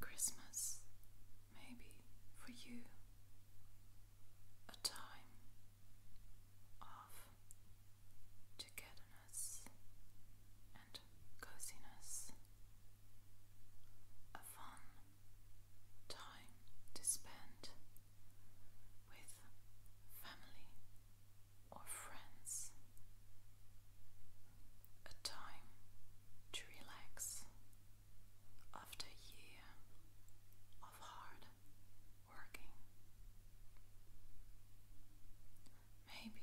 Christmas, maybe for you, a time of togetherness and coziness, a fun time to spend with family or friends a time to relax after a year of hard working. Maybe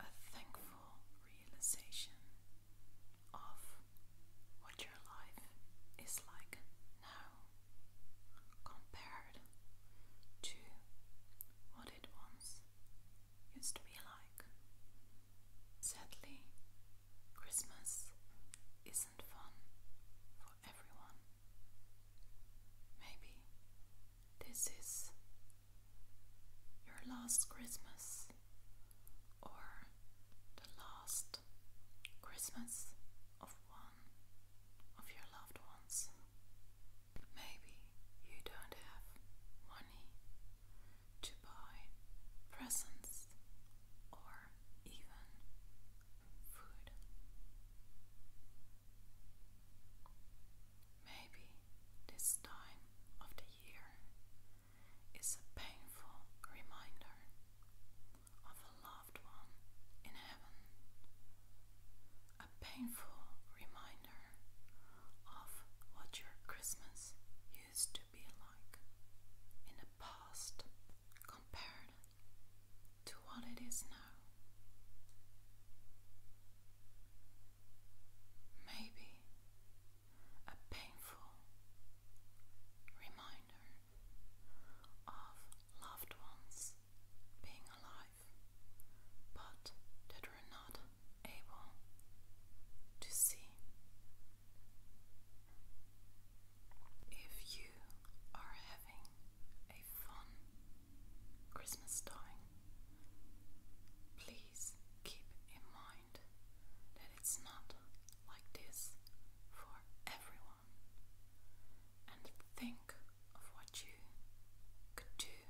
a thankful realization of what your life is like now compared to what it once used to be like. Sadly, Christmas isn't fun for everyone. Maybe this is your last Christmas or the last Christmas of one of your loved ones. Maybe you don't have money to buy presents or even food. Maybe this time of the year is a painful reminder of a loved one in heaven, a painful reminder of what your Christmas used to be like in the past compared to what it is now. Maybe a painful reminder of loved ones being alive, but that we're not able to see. If you are having a fun Christmas time, please keep in mind mind that it's not like this for everyone and think of what you could do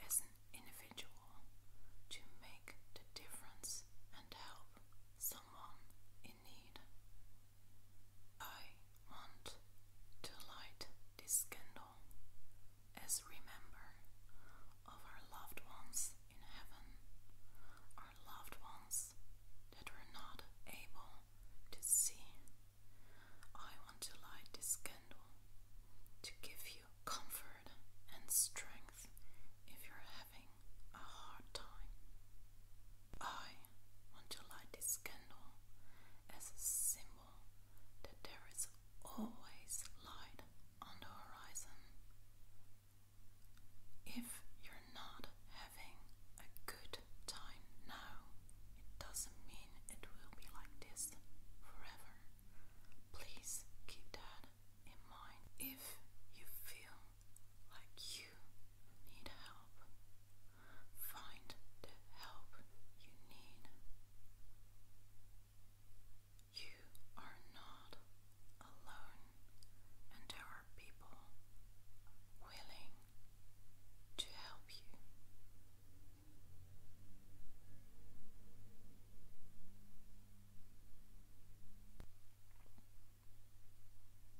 as an individual to make the difference and help someone in need. I want to light this candle as remember of our loved ones in heaven, our loved ones that were not able to see. I want to light this candle to give you comfort and strength if you're having a hard time. I want to light this candle as a symbol that there is always light on the horizon. If you're not having a good time now, it doesn't mean it will be like this forever. Please keep that in mind. If you feel like you need help, Find the help you need. You are not alone, and there are people willing to help you.